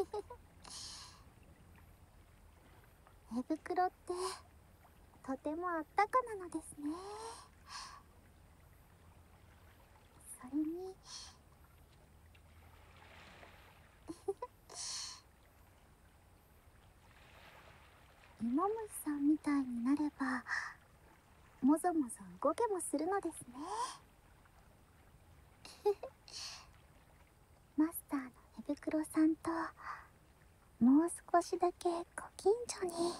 寝袋ってとてもあったかなのですねそれに芋 虫さんみたいになればもぞもぞ動けもするのですね マスターの寝袋さんともう少しだけご近所に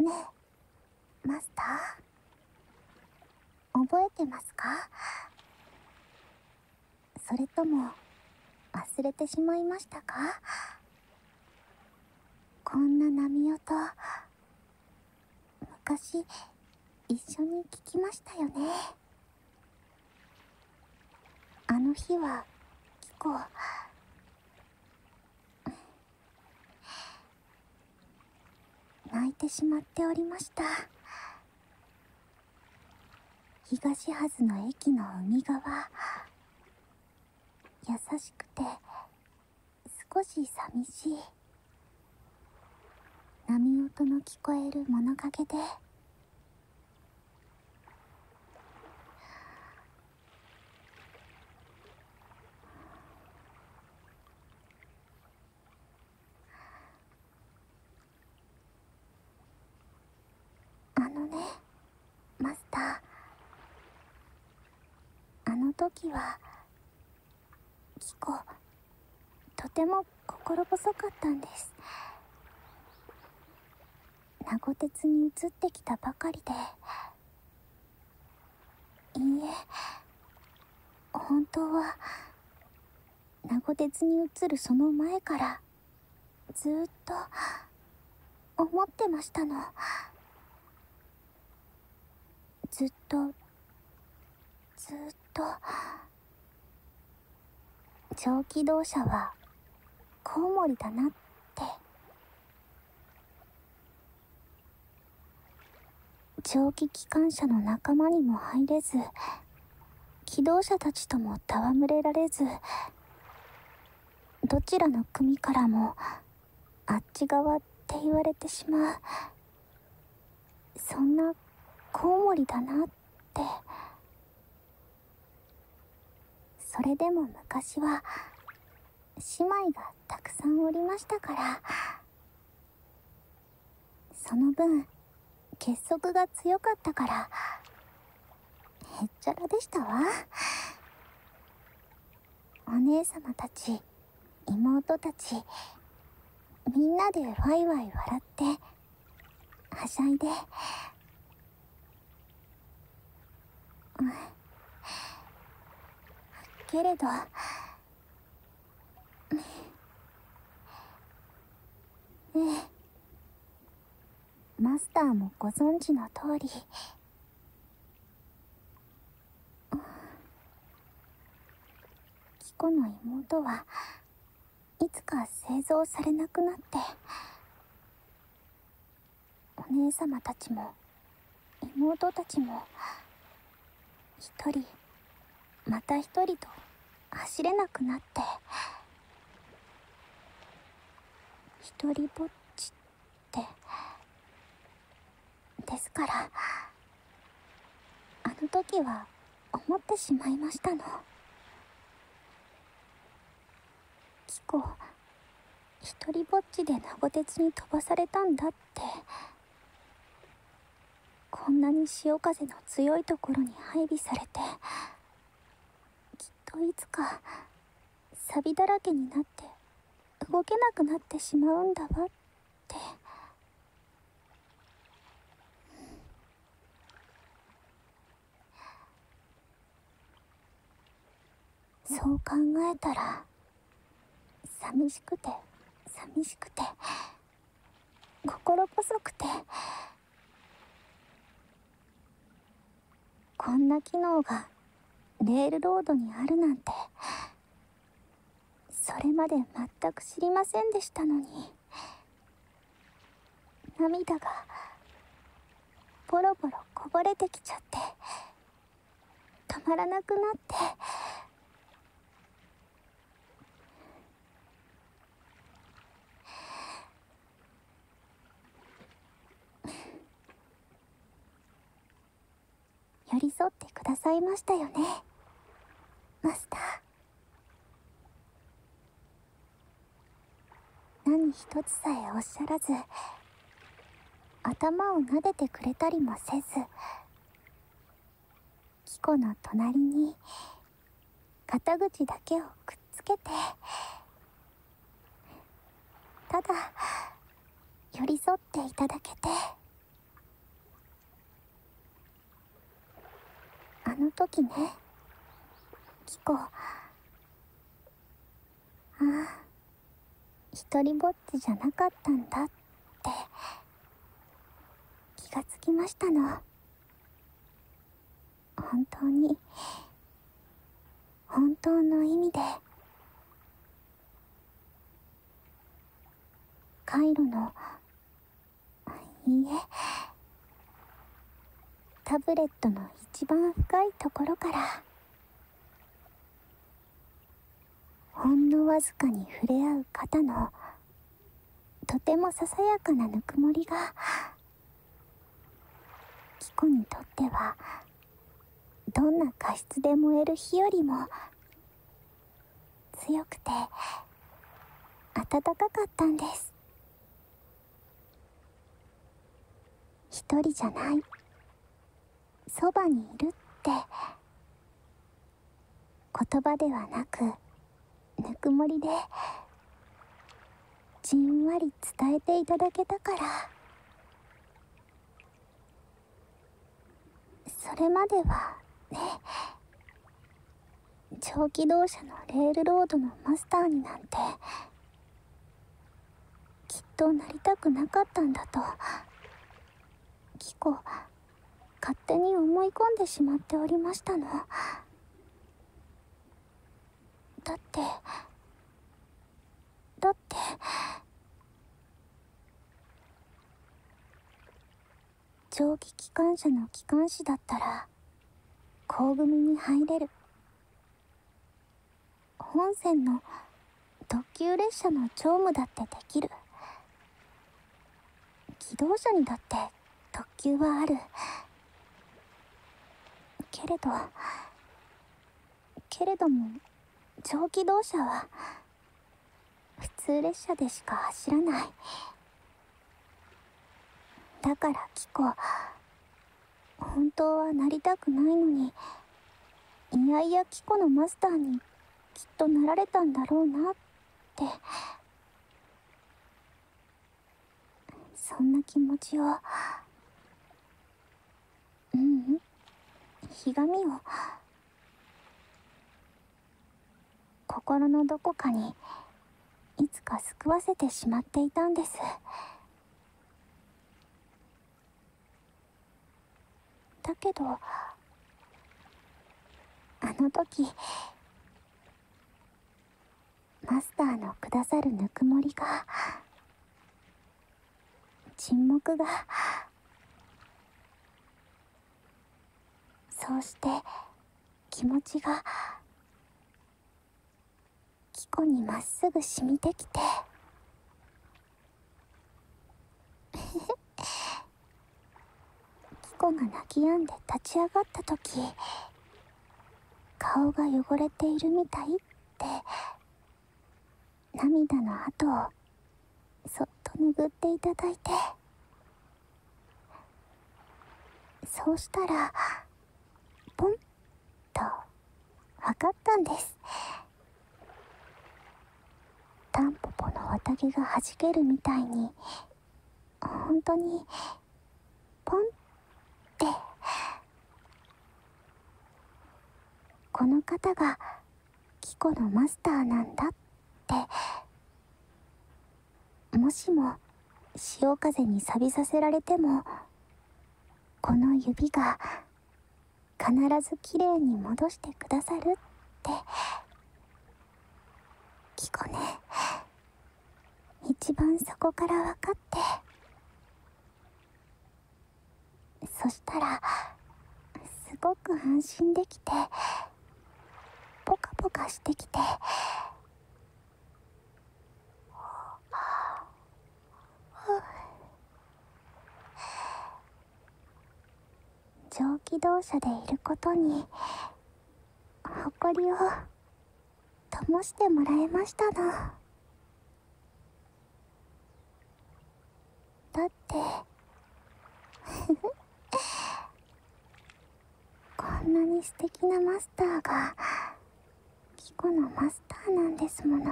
ねえマスター覚えてますかそれとも忘れてしまいましたかこんな波音昔一緒に聞きましたよねあの日はキコ泣いてしまっておりました東はずの駅の海側優しくて少し寂しい波音の聞こえる物陰であのねマスターあの時はキコとても心細かったんです名護鉄に移ってきたばかりでいいえ本当は名護鉄に移るその前からずっと。思ってましたのずっとずっと蒸気動車はコウモリだなって蒸気機関車の仲間にも入れず機動車たちとも戯れられずどちらの組からもあっち側って言われてしまうそんなコウモリだなってそれでも昔は姉妹がたくさんおりましたからその分結束が強かったからへっちゃらでしたわお姉様たち妹たちみんなでワイワイ笑ってはしゃいで、けれどええマスターもご存知の通りあキコの妹はいつか製造されなくなってお姉様たちも妹たちも一人また一人と走れなくなって一人ぼっちってですからあの時は思ってしまいましたのキコ一りぼっちで名護鉄に飛ばされたんだってこんなに潮風の強いところに配備されてきっといつかサビだらけになって動けなくなってしまうんだわってそう考えたら寂しくて寂しくて心細くてこんな機能がレールロードにあるなんてそれまで全く知りませんでしたのに涙がボロボロこぼれてきちゃって止まらなくなって寄り添ってくださいましたよねマスター何一つさえおっしゃらず頭を撫でてくれたりもせずキ子の隣に肩口だけをくっつけてただ寄り添っていただけてあの時ねキコああ一りぼっちじゃなかったんだって気がつきましたの本当に本当の意味でカイロのいいえタブレットの一番深いところからほんのわずかに触れ合う方のとてもささやかなぬくもりがキコにとってはどんな過失で燃える火よりも強くて暖かかったんです一人じゃないそばにいるって言葉ではなくぬくもりでじんわり伝えていただけたからそれまではね蒸機動車のレールロードのマスターになんてきっとなりたくなかったんだとキコ勝手に思い込んでしまっておりましたのだってだって蒸気機関車の機関士だったら高組に入れる本線の特急列車の乗務だってできる機動車にだって特急はあるけれどけれども蒸気動車は普通列車でしか走らないだからキコ本当はなりたくないのにいやいやキコのマスターにきっとなられたんだろうなってそんな気持ちをううんひがみを心のどこかにいつか救わせてしまっていたんですだけどあの時マスターのくださるぬくもりが沈黙がそうして気持ちがキコにまっすぐ染みてきて キコが泣き止んで立ち上がった時顔が汚れているみたいって涙の跡をそっと拭っていただいてそうしたらポンとかったんですタンポポの綿毛がはじけるみたいに本当にポンってこの方がキ子のマスターなんだってもしも潮風に錆びさせられてもこの指が必ずきれいに戻してくださるってキコね一番そこから分かってそしたらすごく安心できてポカポカしてきてはは蒸気動車でいることに誇りを灯してもらえましたの。だってこんなに素敵なマスターがキコのマスターなんですもの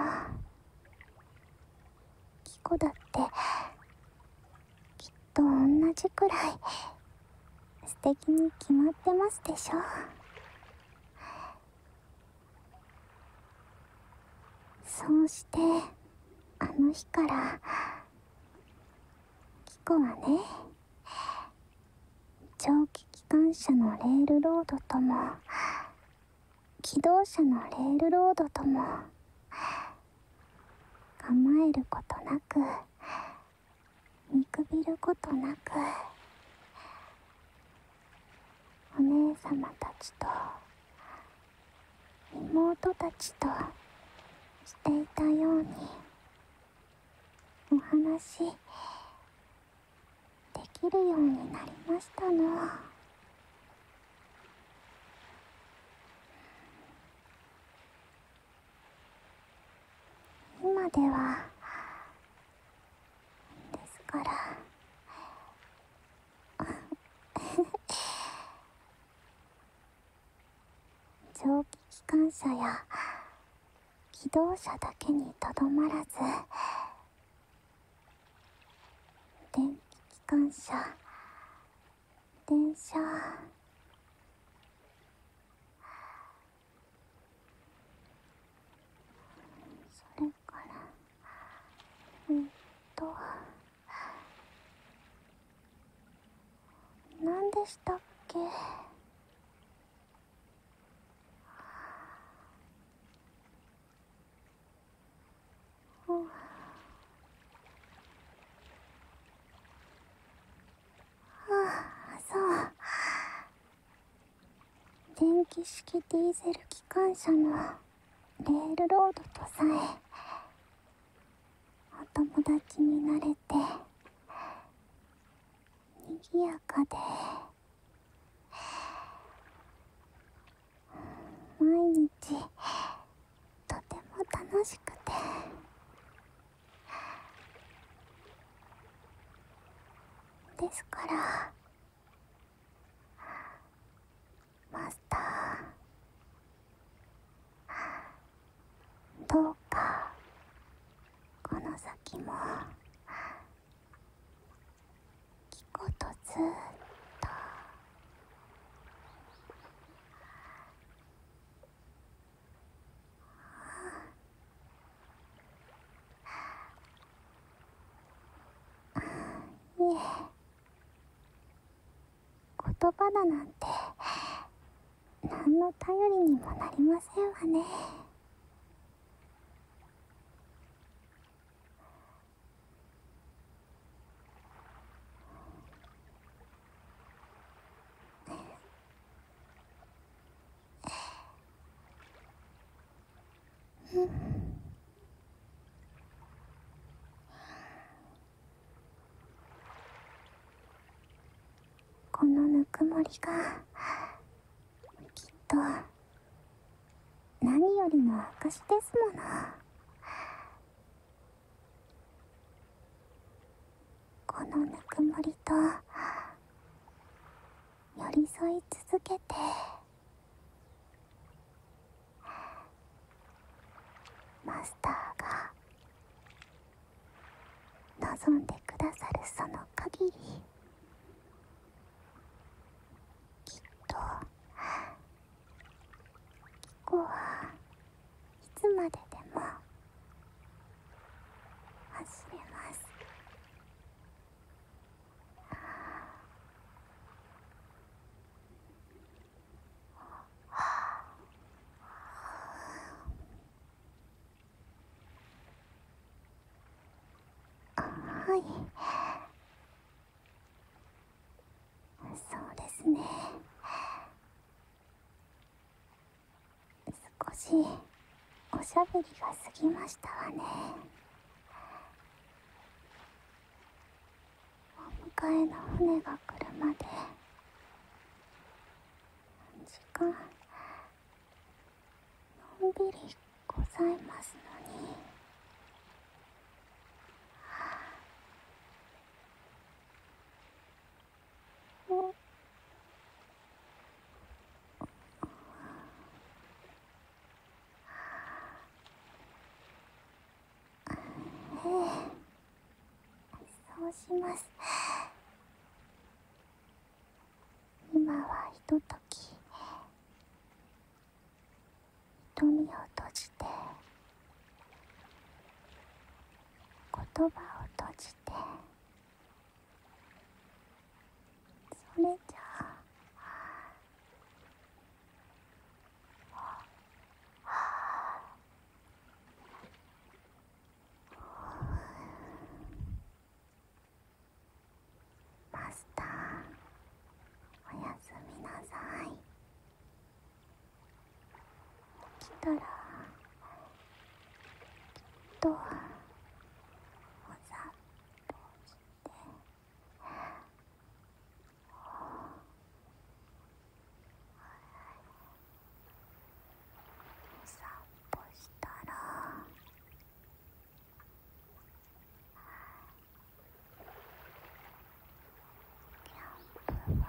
キコだってきっと同じくらい素敵に決まってますでしょそうしてあの日からキコがね蒸気機関車のレールロードとも機動車のレールロードとも構えることなく見くびることなくお姉様たちと妹たちとしていたようにお話できるようになりましたの今ではですから 蒸気機関車や機動車だけにとどまらず電気機関車電車それからうんと。何でしたっけああ。そう電気式ディーゼル機関車のレールロードとさえお友達になれて賑やかで毎日とても楽しくてですからマスターどうかこの先もキコとずっとあいえ言葉だなんて何の頼りにもなりませんわねこのぬくもりがきっと何よりも証ですものこのぬくもりと寄り添い続けてマスターが望んでくださるその限りきっとキコはいつまででも忘れますああ。はあ。あ。はいそうですね少しおしゃべりが過ぎましたわねお迎えの船が来るまで時間のんびりございますのにはあ。そうします今はひととき瞳を閉じて言葉を閉じてそれじゃああマスターおやすみなさい起きたらきっとお散として。散歩したらキャンプファイヤーあ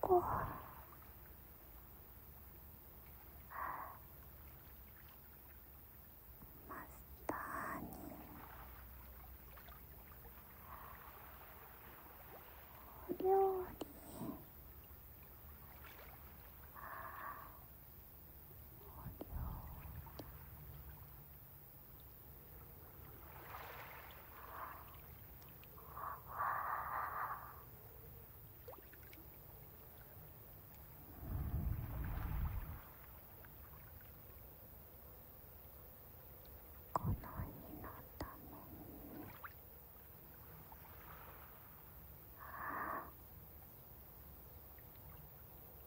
こうマスターにお料理お料理この日のためにあ